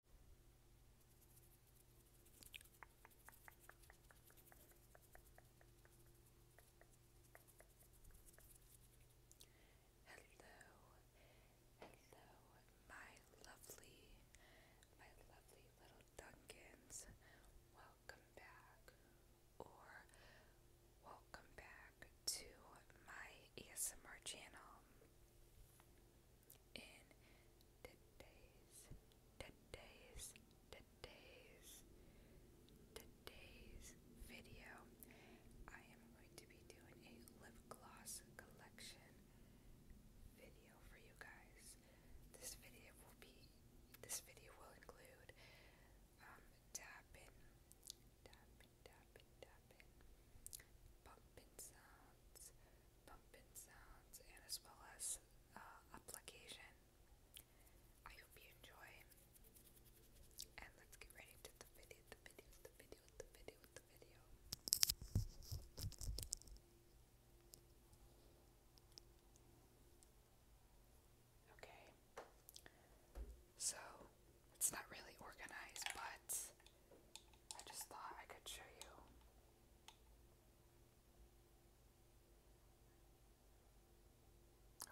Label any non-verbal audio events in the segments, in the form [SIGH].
Hello, hello, my lovely, my lovely little Duncans. Welcome back, or welcome back to my ASMR channel in today's, today's, today's, today's video. I am going to be doing a lip gloss collection video for you guys. This video will be, this video will include um, tapping, tapping, tapping, tapping, bumping sounds, bumping sounds, and as well as uh, application. I hope you enjoy, and let's get ready to the video, the video, the video, the video, the video. Okay, so it's not really organized, but I just thought I could show you.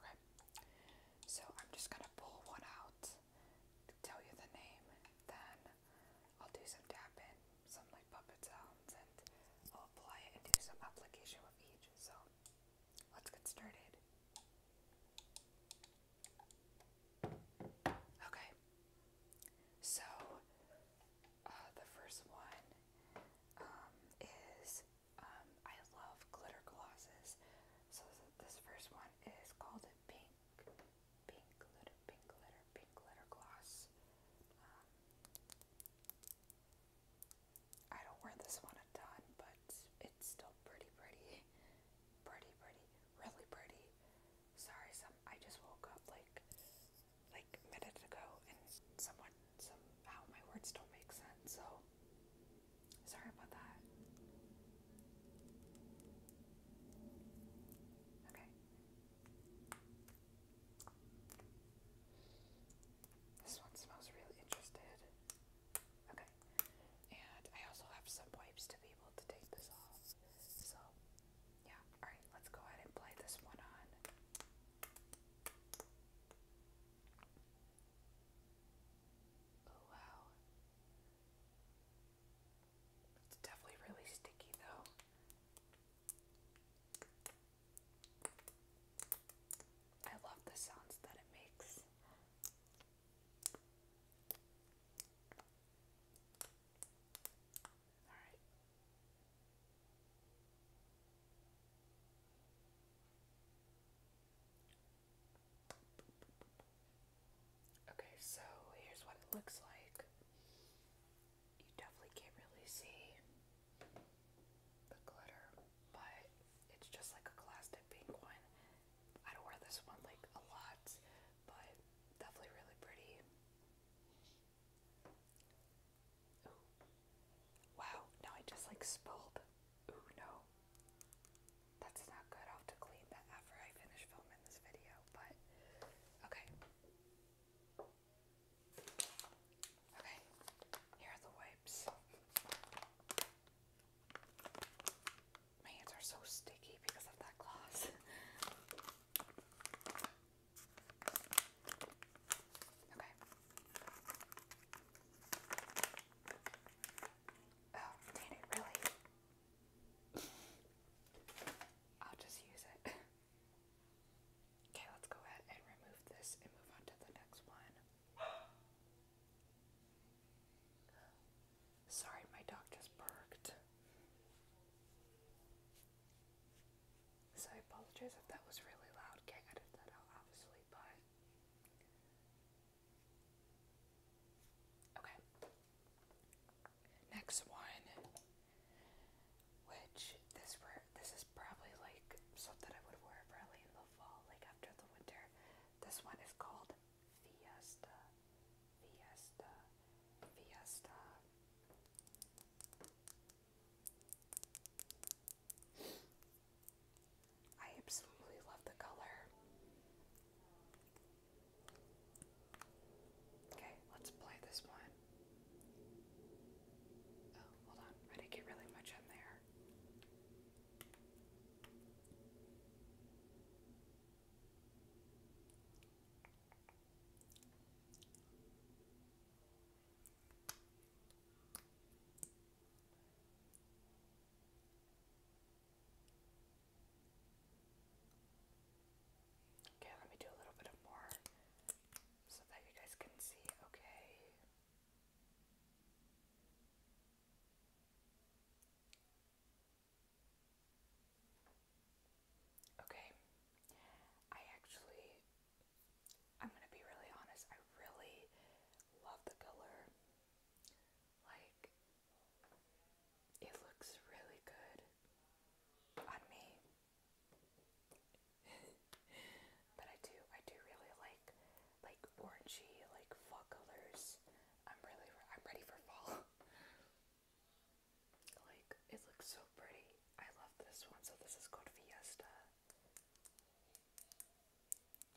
Okay, so I'm just gonna pull one out, tell you the name, then I'll do some tapping, some like puppet sounds, and I'll apply it and do some application with each. So let's get started. Okay, so uh, the first one um, is um, I love glitter glosses. So this first one is called Pink, Pink Glitter, Pink Glitter, Pink Glitter Gloss. Um, I don't wear this one a ton, but it's still pretty, pretty, pretty, pretty, really pretty. Sorry, some I just woke up like like a minute ago and someone somehow my words don't make sense, so sorry about that. Okay. This one smells really interesting. Okay. And I also have some wipes to be able to take this off. So yeah, alright, let's go ahead and play this one on. Oh wow. It's definitely really sticky though. I love the sounds that it makes. Okay, so here's what it looks like. You definitely can't really see the glitter, but it's just like a plastic pink one. I don't wear this one like a lot, but definitely really pretty. Wow, now I just like spilled. Ooh, no. That's not good. i have to clean that after I finish filming this video, but okay. Okay, here are the wipes. My hands are so sticky because of that gloss. [LAUGHS] Okay. Oh, dang it, really? [LAUGHS] I'll just use it. [LAUGHS] okay, let's go ahead and remove this and move on to the next one. [GASPS] [GASPS] Sorry, my dog just barked. So I apologize if that was really loud. can edit that out, obviously, but. Okay. Next one, which this were this is probably like something I would wear probably in the fall, like after the winter. This one is called Fiesta. Fiesta, Fiesta. I absolutely love the color. Okay, let's play this one. Oh, hold on. I didn't get really much in there. Okay, let me do a little bit of more so that you guys can see. Okay. Okay. I actually, I'm gonna be really honest, I really love the color. Like, it looks really good on me. [LAUGHS] but I do, I do really like, like orangey, like fall colors. I'm really, I'm ready for fall. [LAUGHS] Like, it looks so pretty. I love this one. So, this is called Fiesta.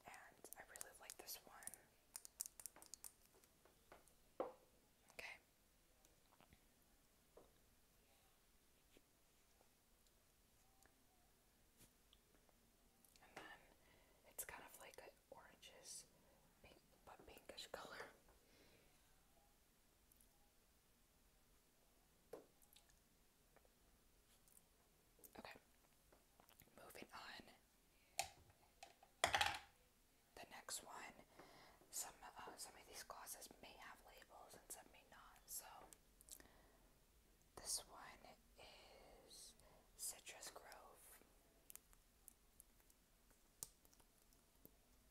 And I really like this one. Okay. And then it's kind of like oranges but pinkish color. Okay, moving on. The next one, some uh, some of these glosses may have labels and some may not. So this one is Citrus Grove.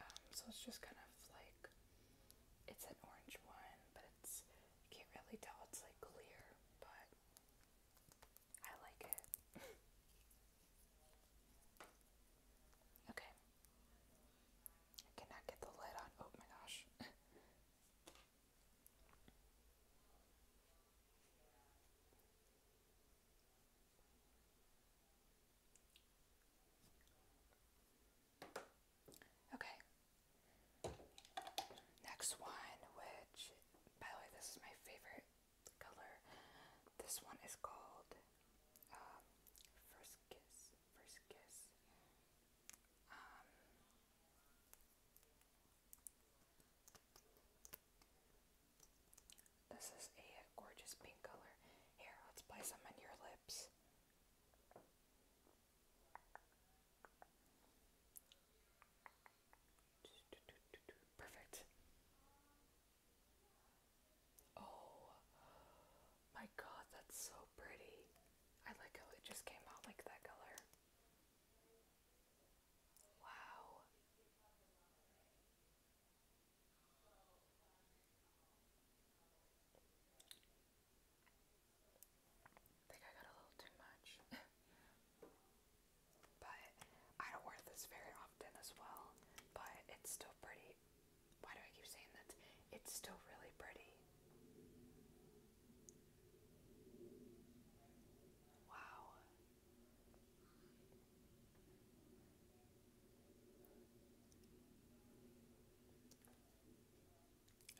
Um, so it's just kind of like it's an orange one, but it's you can't really tell it's like clear, but I like it. [LAUGHS] okay. I cannot get the lid on. Oh my gosh. [LAUGHS] Okay. Next one, which, by the way, this is my favorite color. This one is called um, First Kiss. First Kiss. Um, this is a gorgeous pink color. Here, let's play some on your lips. Perfect. Oh my god, that's so pretty. I like how it just came out like that color. Wow. I think I got a little too much. [LAUGHS] but I don't wear this very often as well, but it's still pretty. Why do I keep saying that? It's still really pretty. Wow.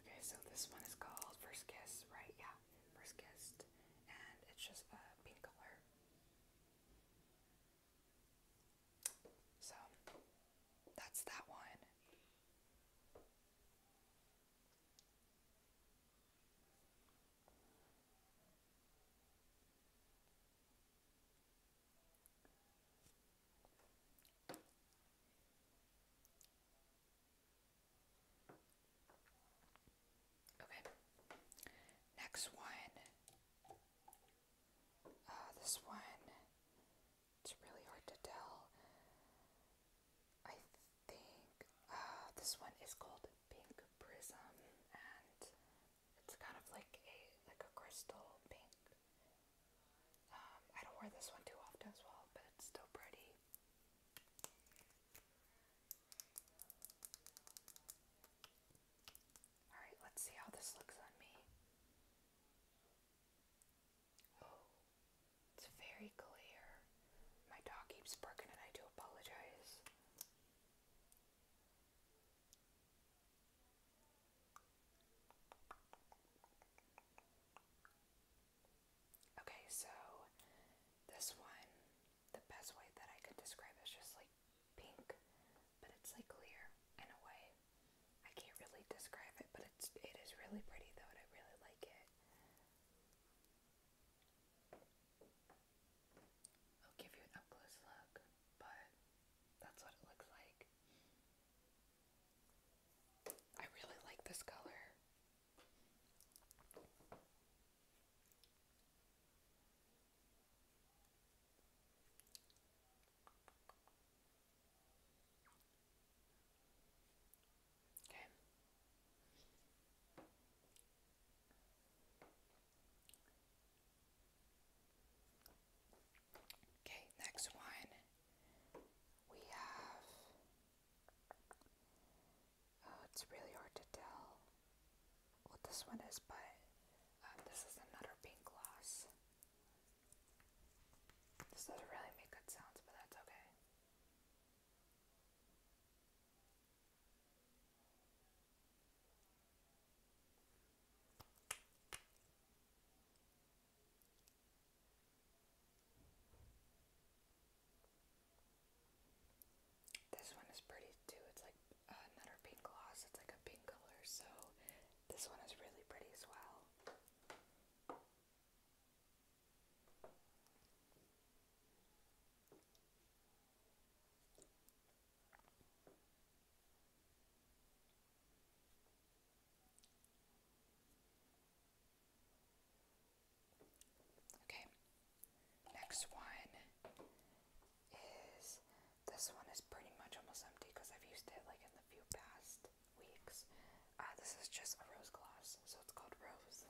Okay, so this one is called First Kiss, right? Yeah, First kiss, and it's just a pink color. So that's that one. Okay. Next one. Uh, this one. It's really hard to tell. I think uh, this one is called Pink Prism, and it's kind of like a like a crystal pink. Um, I don't wear this one too often as well, but it's still pretty. All right, let's see how this looks on me. Oh, it's very clear. My dog keeps barking, and I do apologize. Okay, so this one, the best way that I could describe it is just like pink, but it's like clear in a way. I can't really describe it, but it's it is really pretty though, and I really like it. I'll give you an up close look, but that's what it looks like. I really like this color. Okay. Okay, next one we have. Oh, it's really hard to tell what this one is, but um, this is another pink gloss. This doesn't really make good sounds, but that's okay. This one is pretty too. It's like uh, another pink gloss. It's like a pink color, so this one is really pretty as well. Okay, next one is this one is pretty much almost empty because I've used it like in the few past weeks. Uh, this is just a rose gloss, so it's called Rose.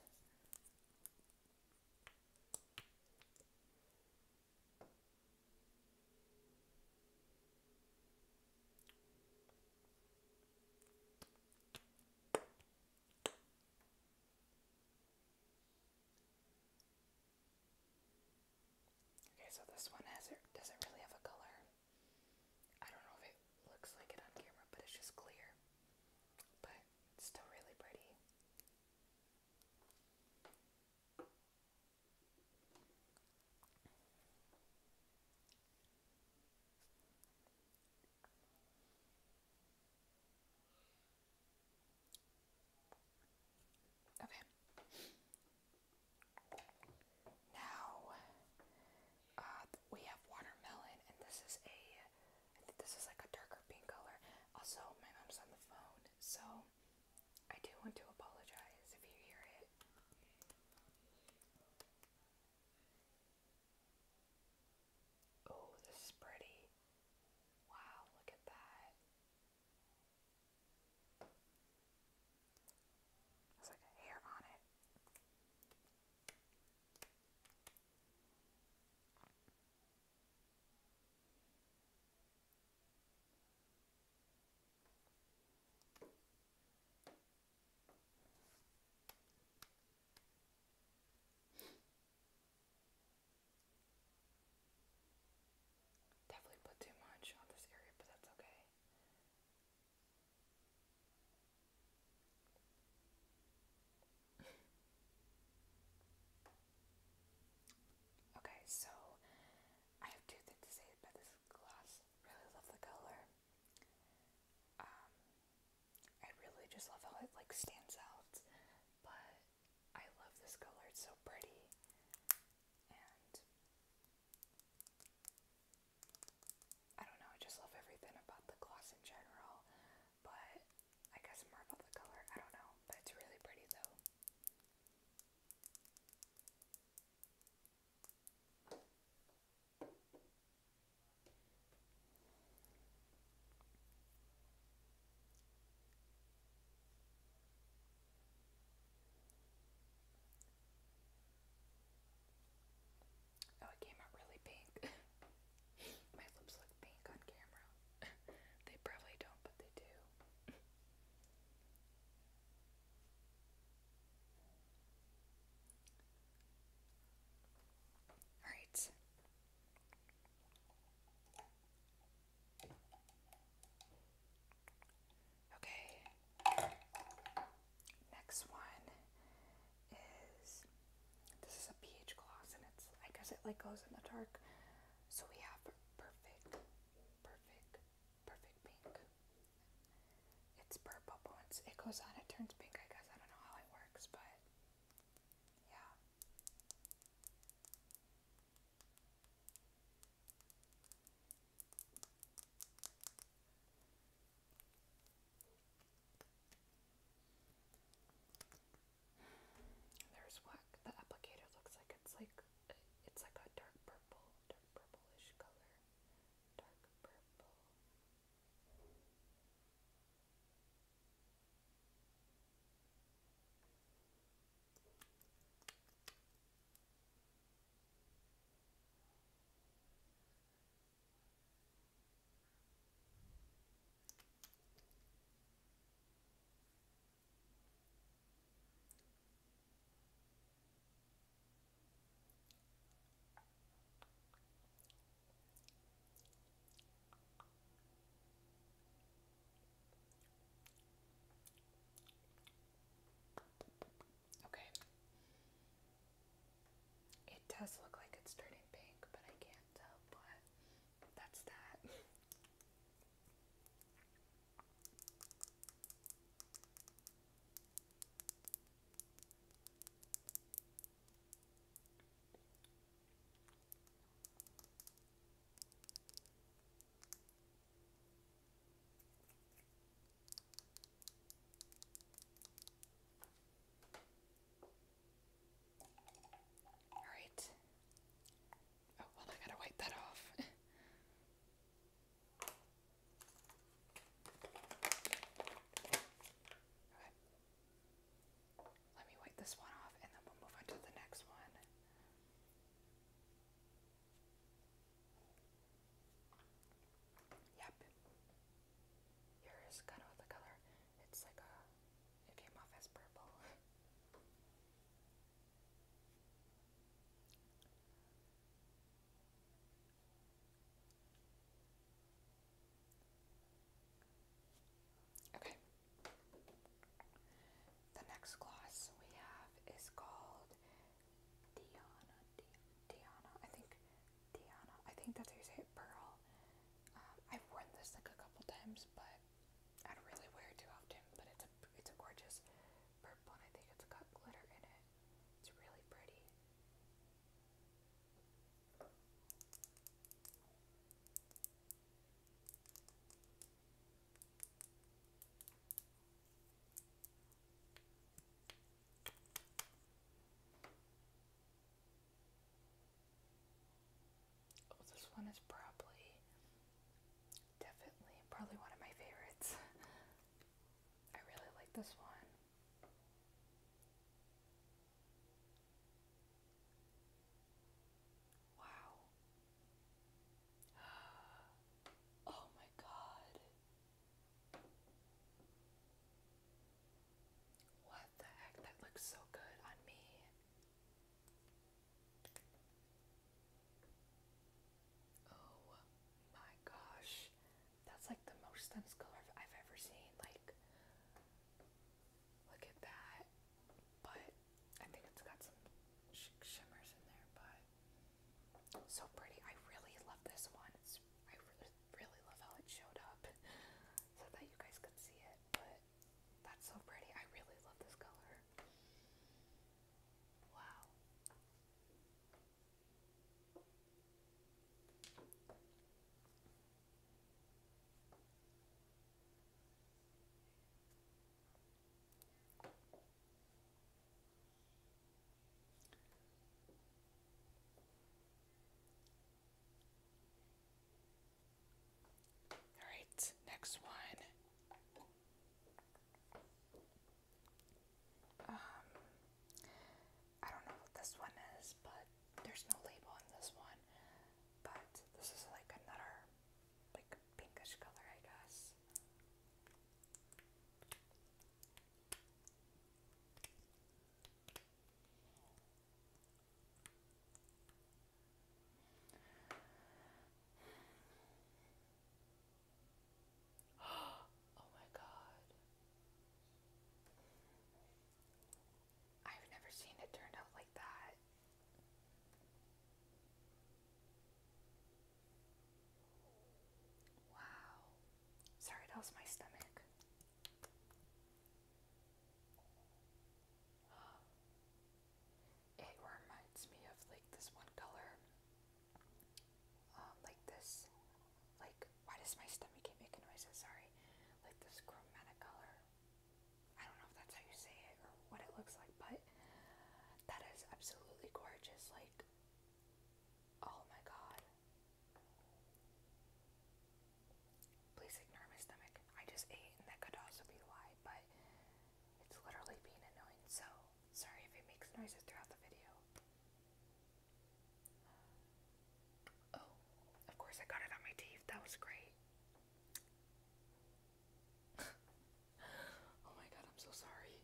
Okay, so this one has doesn't really have a color. I don't know if it looks like it on camera, but it's just clear. But it's still really pretty. Okay. Now uh, we have watermelon, and this is a this is like a darker pink color. Also, my mom's on the phone, so I do want to apologize if you hear it. Oh, this is pretty. Wow, look at that. There's like hair on it. Definitely put too much on this area, but that's okay okay, so I have two things to say about this gloss. Really love the color. Um, I really just love how it like stands out, but I love this color. It's so pretty, and I don't know. I just love everything about the gloss in general but I guess more about the color. I don't know, but it's really pretty though. Oh, it came out really pink. [LAUGHS] My lips look pink on camera. [LAUGHS] they probably don't, but they do. Alright. Okay. Next one is this is a pH gloss and it's I guess it like goes in the dark. So we have perfect, perfect, perfect pink. It's purple but once it goes on it turns pink, I guess. I don't know how it works, but yeah. There's what the applicator looks like. It's like it's like a dark purple, dark purplish color. Dark purple. Okay. It does look like it's turning pink, but I can't can but that's that. Alright. Oh, well, I gotta wipe that off. Let me wipe this one off and then we'll move on to the next one. Yep. Yours kind of the color. It's like a. It came off as purple. [LAUGHS] Okay. The next gloss we have is called Diana. Diana. I think. Diana. I think that's how you say it. Pearl. Um, I've worn this like a couple times, but I don't really wear it too often. But it's a it's a gorgeous purple, and I think it's got glitter in it. It's really pretty. Oh, this one is probably definitely probably one of my favorites. [LAUGHS] I really like this one. Wow. [GASPS] Oh my god. What the heck? That looks so good on me. Oh my gosh. That's like the most stems color I've ever seen. Like, look at that. But I think it's got some shimmers in there, but so pretty. I really love this one. I really, really love how it showed up [LAUGHS] so that you guys could see it, but that's so pretty. I really love this color. Wow. All right, next one. Um, I don't know what this one is, but there's no label on this one. But this is like another, like pinkish color, I guess oh my god. I've never seen it turned out like that. Wow. Sorry, that was my stomach. [GASPS] It reminds me of like this one color. Um, like this, like why does my stomach keep making noises? Sorry, like this chromatic color. I don't know if that's how you say it or what it looks like, but that is absolutely gorgeous. Like, oh my god, Please ignore my stomach. I just ate, and that could also be why, but it's literally being annoying, so sorry if it makes noises throughout the video. Oh, of course I got it on my teeth. That was great. [LAUGHS] oh my god, I'm so sorry.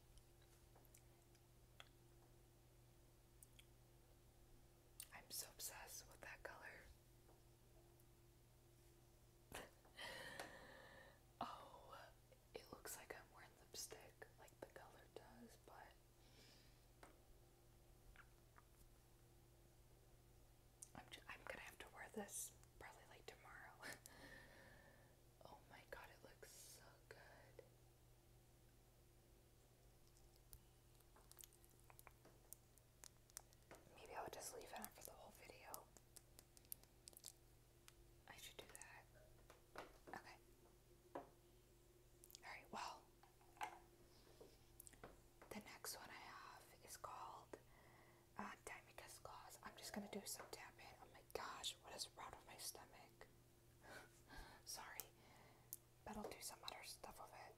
I'm so obsessed with that color. [LAUGHS] oh, it looks like I'm wearing lipstick, like the color does, but I'm I'm gonna have to wear this probably like tomorrow. [LAUGHS] oh my god, it looks so good. Maybe I'll just leave it on for the whole video. I should do that. Okay. Alright, well, the next one I have is called uh, Dimica's I'm just gonna do some tapping. Oh my gosh, what is wrong with my stomach? [LAUGHS] Sorry, but I'll do some other stuff of it.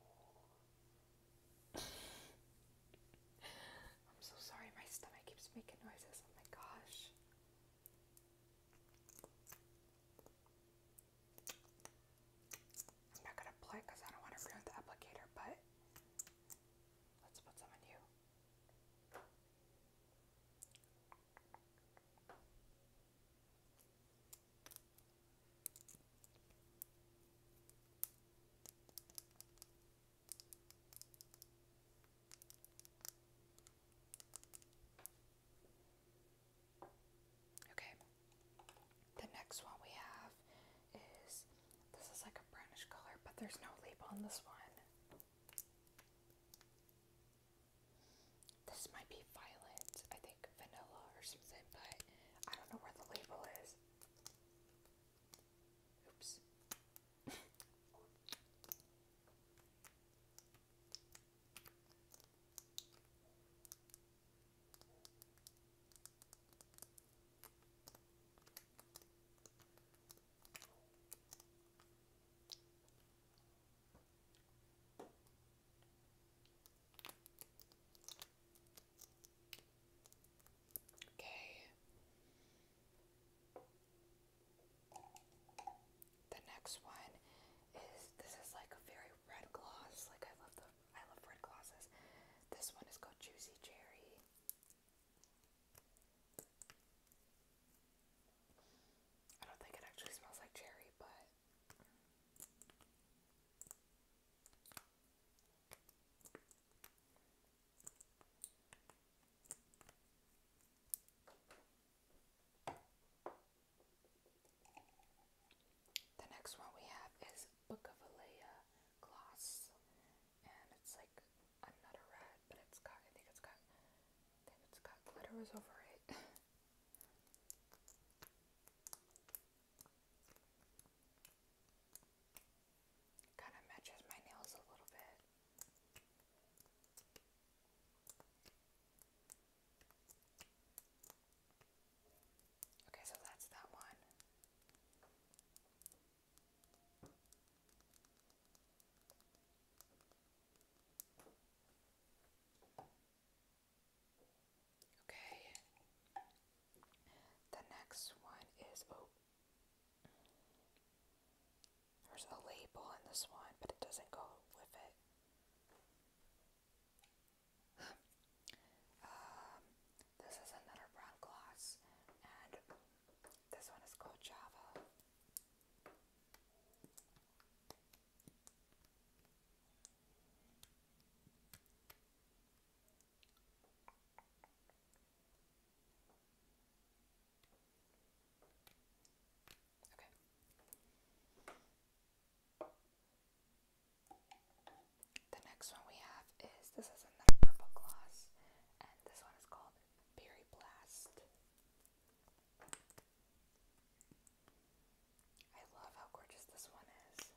I'm so sorry, my stomach keeps making noises. Oh my gosh. I'm not gonna play because I don't want to ruin the applicator, but let's put some on you. Okay, the next one we have is this is like a brownish color, but there's no label on this one. This might be violet, I think vanilla or something, but I don't know where the label is. Oops. Okay. The next one is this is like a very red gloss. Like I love the I love red glosses. This one is called Juicy Cherry. I don't think it actually smells like cherry, but the next one we have is Book of Alea gloss, and it's like another red, but it's got I think it's got I think it's got glitters over it. [LAUGHS] Kind of matches my nails a little bit. Okay, so that's that one. Okay. The next one is oh. There's a label in this one, but it doesn't go with it. [SIGHS] Um, this is another brown gloss, and this one is called Java. Okay. The next one we have is this is another purple gloss, and this one is called Berry Blast. I love how gorgeous this one is.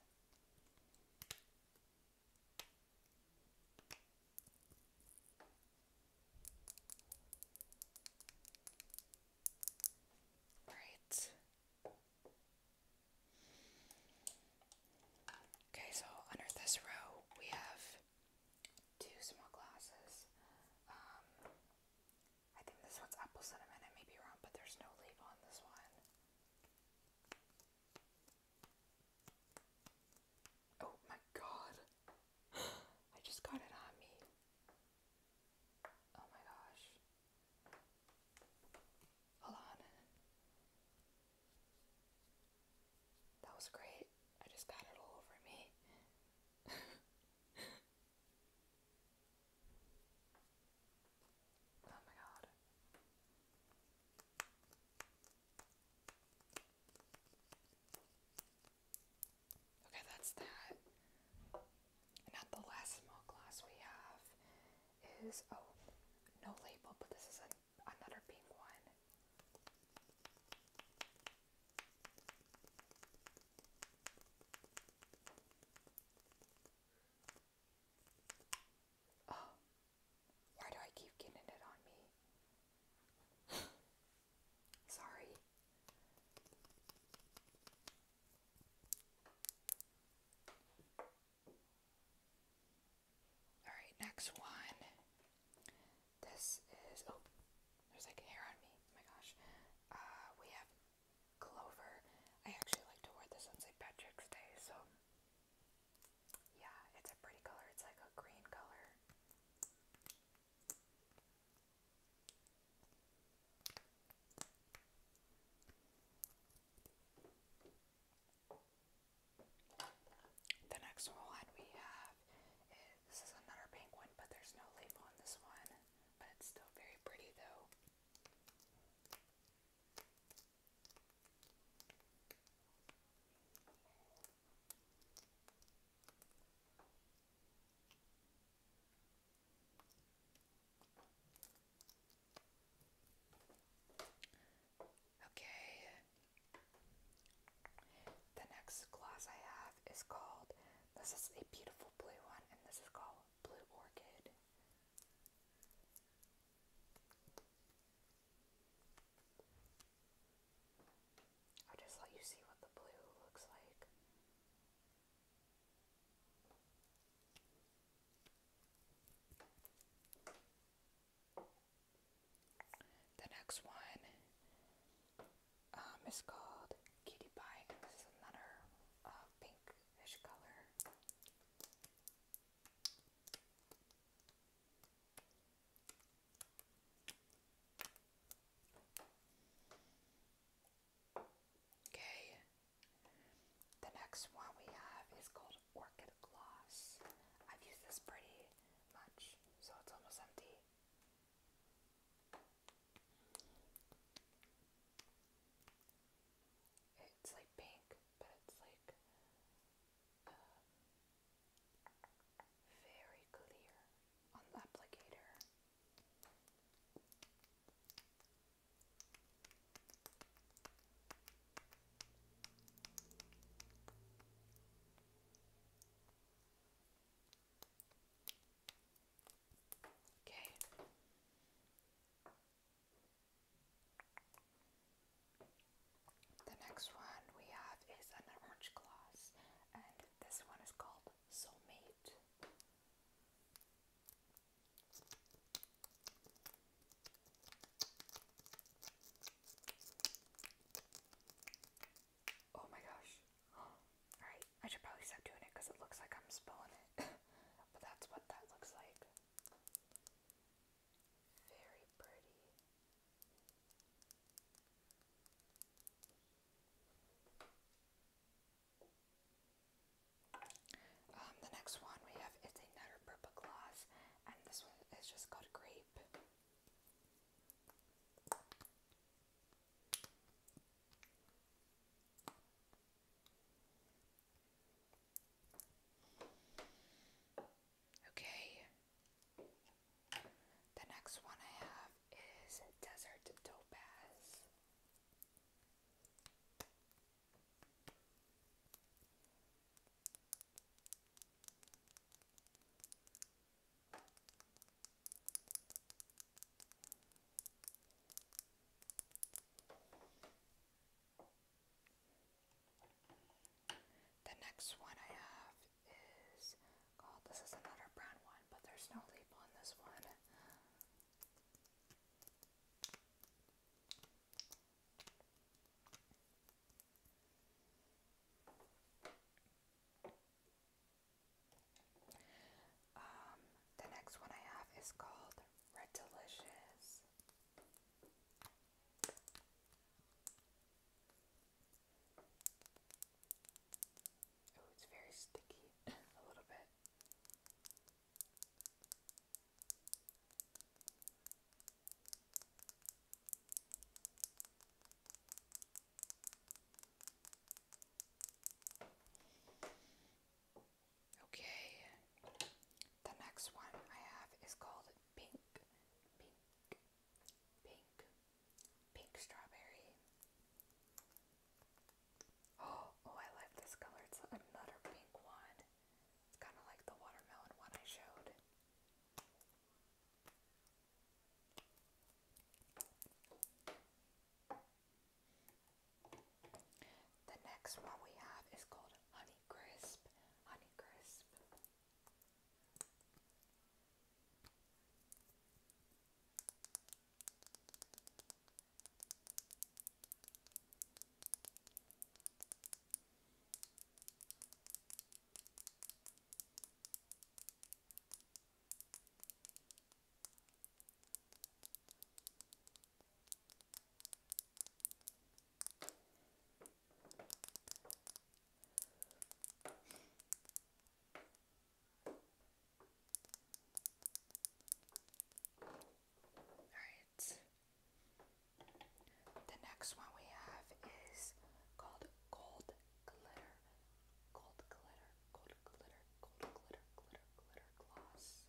All right. Okay, so under this row we have two small glasses. Um, I think this one's apple cinnamon. I may be wrong, but there's no label on this one. Oh my god. [GASPS] I just got it on me. Oh my gosh. Hold on. That was great. I just got it all over me. [LAUGHS] Oh my Okay, that's that. And at the last small glass we have is oh, no label, but this is another pink one. Oh, why do I keep getting it on me? [SIGHS] Sorry. Alright, next one. This is. Oh, there's like hair on me. Oh my gosh. Uh, we have clover. I actually like to wear this on St. Patrick's Day, so yeah, it's a pretty color. It's like a green color. The next one we have is this is another pink but there's no label on this one, but it's still very pretty though. Okay, the next glass I have is called, this is a beautiful blue one, and this is called Blue Orchid. I'll just let you see what the blue looks like. The next one um, is called Cutie Pie. This is another uh, pinkish color. Okay, the next one we have is called Orchid Gloss. I've used this pretty much, so it's almost empty it's like pink, but it's like uh, very clear on the applicator. Okay. The next one we have is an orange glass, and this one is called Soulmate. Oh my gosh. [GASPS] Alright, I should probably stop doing it because it looks like I'm spilling it. [LAUGHS] but that's what that looks like. Very pretty. Um, the next one we have it's another purple gloss, and this one is just called grape. Okay. The next one I have is Desert Topaz. The next one I have is called, this is another brown one, but there's no label on this one. Um, the next one I have is called Red Delicious. Oh, it's very sticky [LAUGHS] a little bit. Okay, the next one I have is called Pink, Pink, Pink, Pink Strawberry. Oh, [GASPS] oh, I like this color. It's another pink one. It's kind of like the watermelon one I showed. The next one we have is called Honey Crisp. Alright. The next one we have is called Gold Glitter. Gold Glitter. Gold Glitter. Gold Glitter. Glitter. Glitter Gloss.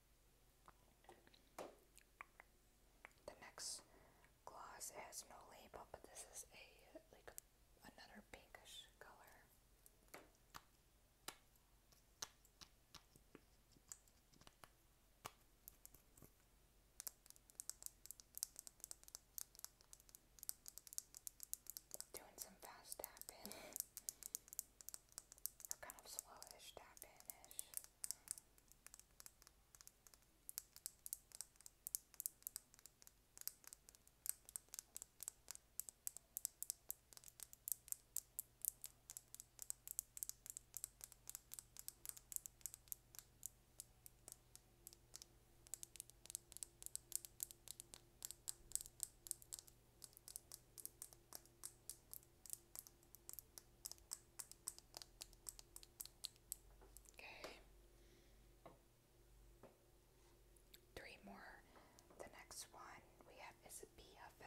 The next gloss has no label, but this is a like another pinkish color. Doing some fast tapping. [LAUGHS] Or kind of slowish, tapped Okay. Three more. The next one we have is a BFF.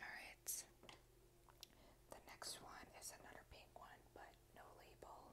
Alright, the next one is another pink one, but no label.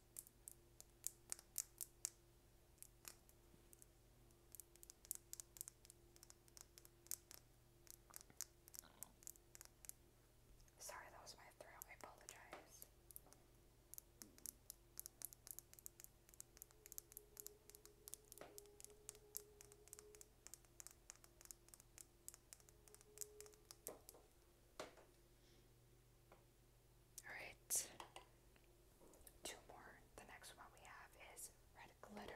Sorry, that was my throat. I apologize. Alright. Two more. The next one we have is red glitter.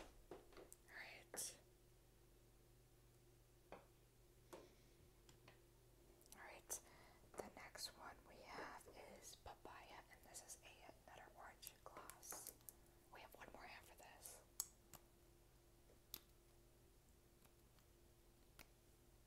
Alright. Alright, the next one we have is papaya, and this is a, another orange glass. We have one more after this.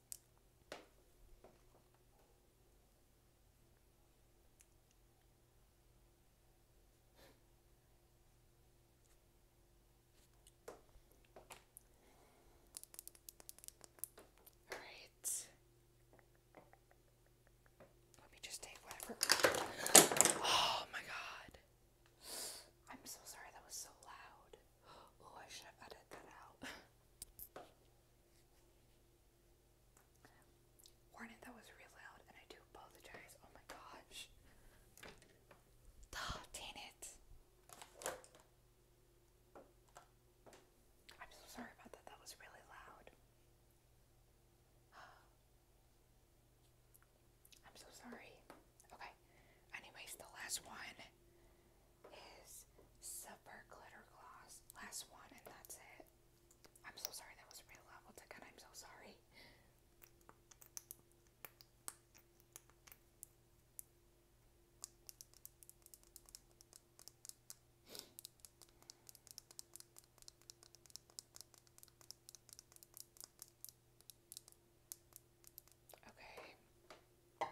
All right. Let me just take whatever. Oh my god. I'm so sorry that was so loud. Oh, I should have edited that out. [LAUGHS] Warning, that was really loud, and I do apologize. Oh my gosh. Oh, dang it. I'm so sorry about that. That was really loud. [SIGHS] I'm so sorry. Okay. Anyways, the last one is super Glitter Gloss. Last one, and that's it. I'm so sorry that was real level ticket. I'm so sorry. Okay.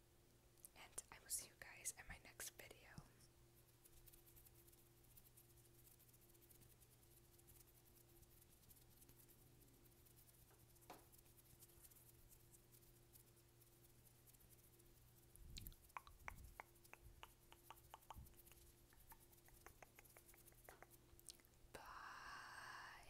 and I will see you guys in my next video. Bye.